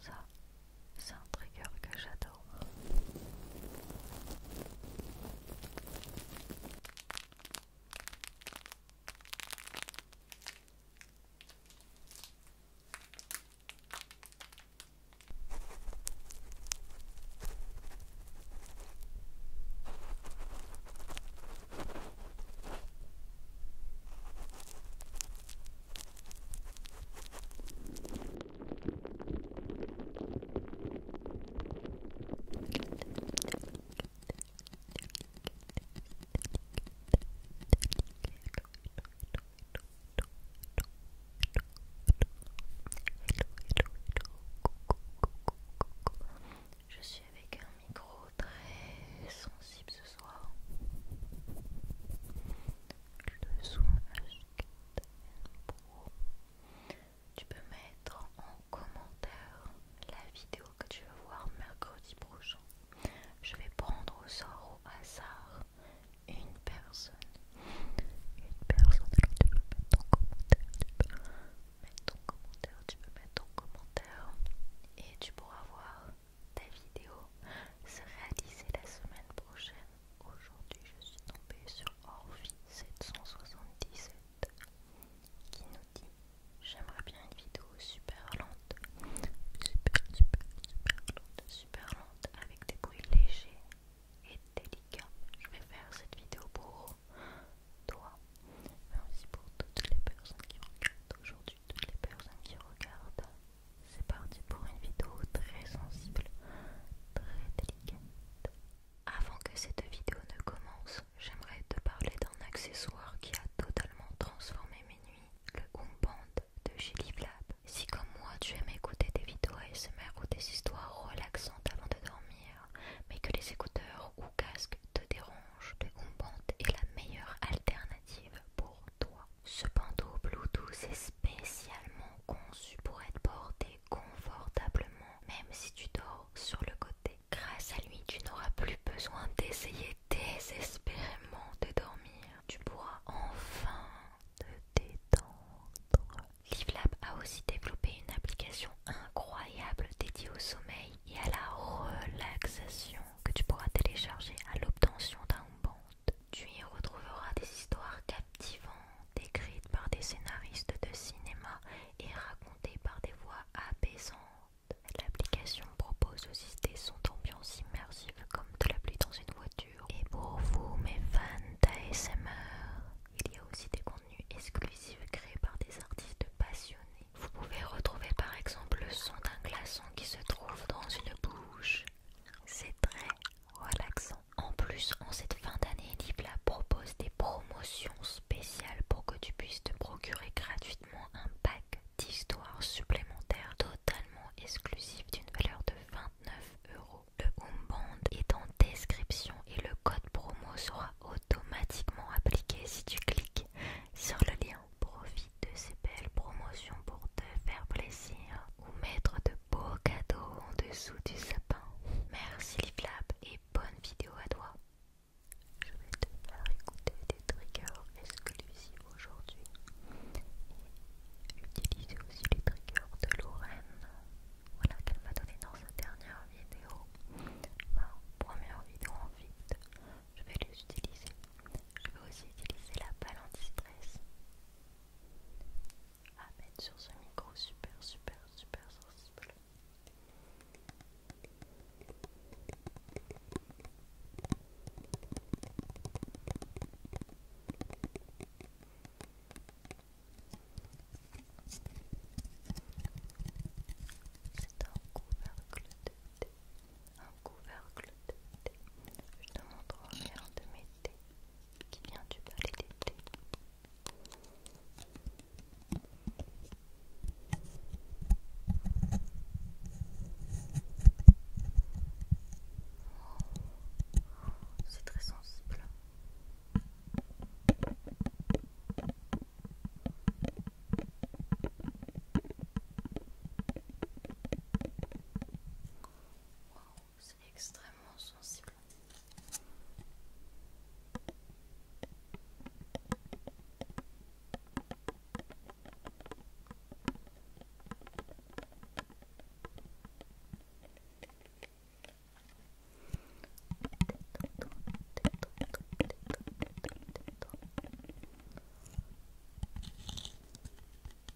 Ça, c'est un trigger que j'adore. Je suis avec un micro très sensible ce soir. Tu peux mettre en commentaire la vidéo que tu veux voir mercredi prochain. Je vais prendre au sort au hasard une personne. Une personne tu peux mettre ton commentaire. Tu peux mettre ton commentaire, tu peux mettre ton commentaire et tu pourras voir ta vidéo se réalisée la semaine prochaine. Aujourd'hui, je suis tombée sur Orvi 777 qui nous dit J'aimerais bien une vidéo super lente, super, super, super lente, super lente avec des bruits légers et délicats. Je vais faire cette vidéo pour toi, mais aussi pour toutes les personnes qui regardent aujourd'hui, toutes les personnes qui regardent c'est parti pour une vidéo très sensible, très délicate. Avant que cette vidéo ne commence, j'aimerais te parler d'un accessoire qui a totalement transformé mes nuits, le Umband de Gilly Si comme moi tu aimes écouter des vidéos ASMR ou des histoires relaxantes avant de dormir, mais que les écouteurs ou casques te dérangent, le Umband est la meilleure alternative pour toi. Ce bandeau Bluetooth est spécialement conçu pour être porté confortablement, même si tu dors sur le côté. Grâce à lui, tu n'auras plus besoin d'essayer désespérément de dormir. Tu pourras enfin te détendre. LiveLab a aussi développé une application incroyable dédiée au sommeil et à la relaxation que tu pourras télécharger à l'obtention d'un bon tu y retrouveras des histoires captivantes, écrites par des scénaristes de cinéma et racontées par des voix apaisantes. L'application propose aussi des sons d'ambiance immersive comme de la pluie dans une voiture. Et pour vous, mes fans d'ASMR, il y a aussi des contenus exclusifs créés par des artistes passionnés. Vous pouvez retrouver par exemple le son d'un glaçon qui se trouve dans une bouche. C'est très en plus, en cette fin d'année, Dipla propose des promotions spéciales pour que tu puisses te procurer gratuitement un pack d'histoires supplémentaires totalement exclusif d'une valeur de 29 euros. Le Umband est en description et le code promo sera automatiquement appliqué si tu cliques sur le lien. Profite de ces belles promotions pour te faire plaisir ou mettre de beaux cadeaux en dessous du sapin. Merci les et bonne vidéo à toi. Je vais te faire écouter des triggers exclusifs aujourd'hui. Utiliser aussi les triggers de Lorraine. Voilà qu'elle m'a donné dans sa dernière vidéo. Ma première vidéo en vite. Je vais les utiliser. Je vais aussi utiliser la balle anti-stress à mettre sur ce micro super super super sensible. C'est un couvercle de thé, un couvercle de thé. Je ne montre rien de mes thés, qui vient du palais d'été. C'est très sensible. C'est extrêmement sensible.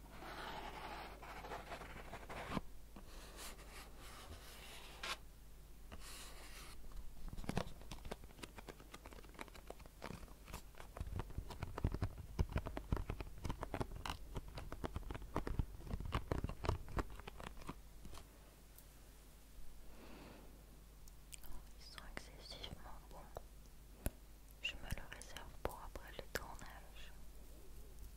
Ils sont excessivement bons. Je me le réserve pour après le tournage.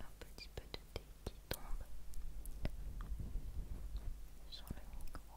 Un petit peu de thé qui tombe sur le micro.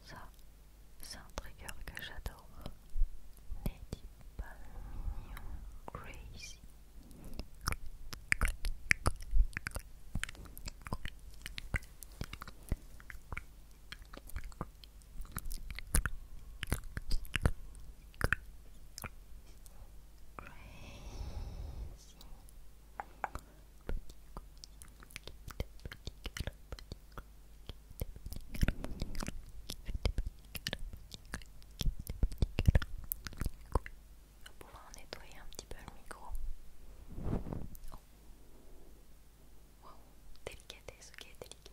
Ça, c'est un trigger que j'adore. les il mignon, Crazy. On va pouvoir nettoyer un petit peu le micro. Oh. Wow, délicatesse, ok, délicat.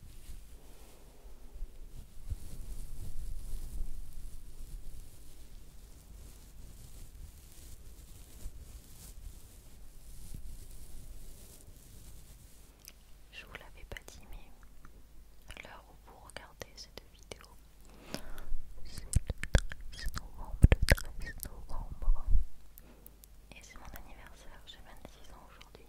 Je vous l'avais pas dit, mais à l'heure où vous regardez cette vidéo, c'est le 13 novembre, le 13 novembre et c'est mon anniversaire, j'ai 26 ans aujourd'hui.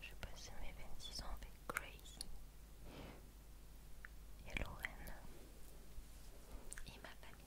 je passe mes 26 ans avec Grace et Lorraine et ma famille.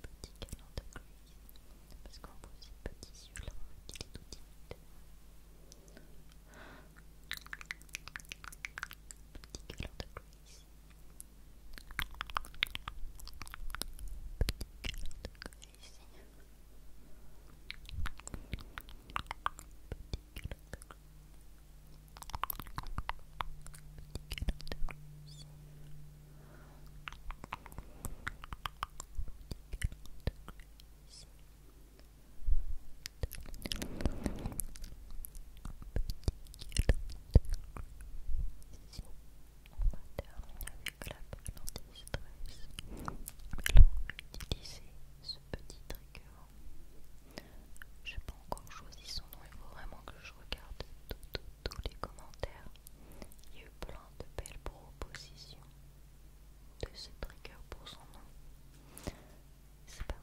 petit câlin de Grace, parce qu'on voit ces petits yeux-là, il est tout timide. Petit câlin de Grace. Petit câlin de Grace. Petit câlin de Grace. Petit câlin de Grace. Petit câlin de Grace petit câlin de grise Un petit câlin de grise Ici, on va terminer avec la peau d'antistresse Là, on va utiliser ce petit trigger Je n'ai pas encore choisi son nom, il faut vraiment que je regarde tous les commentaires il y a eu plein de belles propositions de ce trigger pour son nom. C'est parti.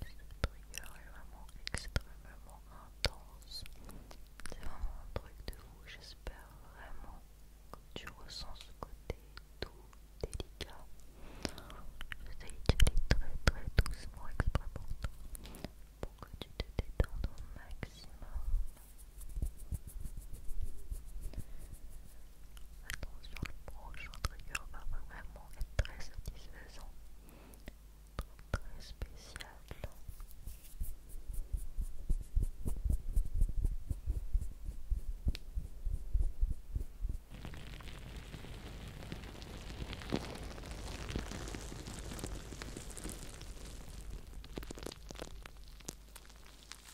trigger est vraiment extrêmement intense. C'est vraiment un truc de fou. J'espère vraiment que tu ressens ce côté tout délicat. J'essaie très très doucement, extrêmement pour que tu te détendes au maximum. Attention, le prochain trigger va vraiment être très satisfaisant, très, spécial.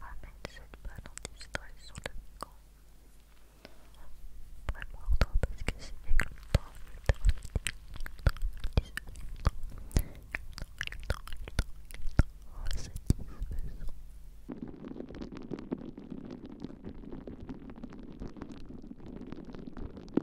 Amène cette balle anti-stress sur le micro. Vraiment ordre parce que c'est éclatant, éclatant,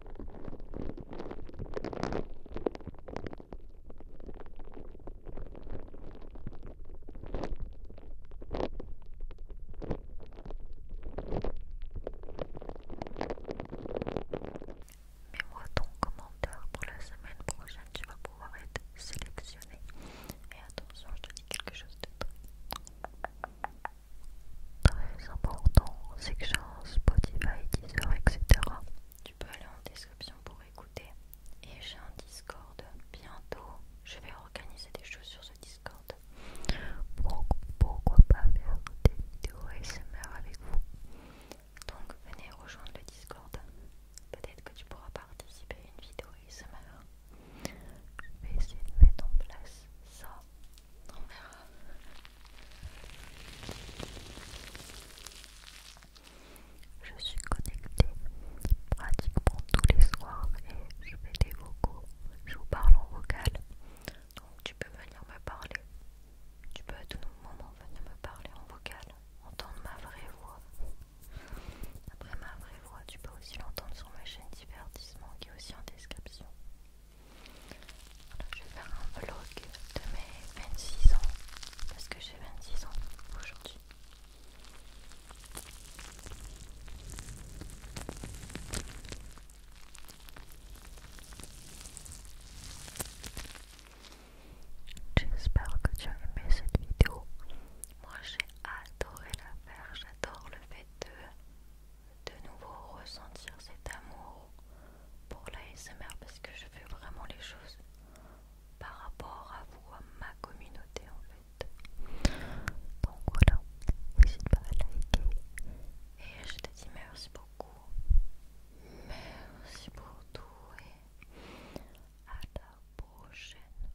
Mets-moi ton commentaire pour la semaine prochaine, tu vas pouvoir être sélectionné. Et attention, je te dis quelque chose de très très important, c'est que Spotify, etc. Tu peux aller en description pour écouter. Et j'ai un Discord bientôt. Je vais organiser des choses sur ce Discord. pourquoi pas faire des vidéos ASMR avec vous Donc venez rejoindre le Discord. Peut-être que tu pourras participer à une vidéo ASMR. Je vais essayer de mettre en place ça on verra. Je suis connectée pratiquement tous les soirs et je fais des vocaux. Je vous parle en vocal. Donc tu peux venir me parler. Tu peux à tout moment venir me parler en vocal. Entendre ma vraie voix. Après ma vraie voix, tu peux aussi l'entendre sur ma chaîne divertissement qui est aussi en description je vais faire un vlog de mes 26 ans parce que j'ai 26 ans aujourd'hui. J'espère que tu as aimé cette vidéo. Moi j'ai adoré la faire, j'adore le fait de de nouveau ressentir cet amour pour l'ASMR parce que je fais vraiment les choses par rapport à vous, à ma communauté en fait. Donc voilà, n'hésite pas à liker. Et je te dis merci beaucoup. Merci pour tout et à la prochaine.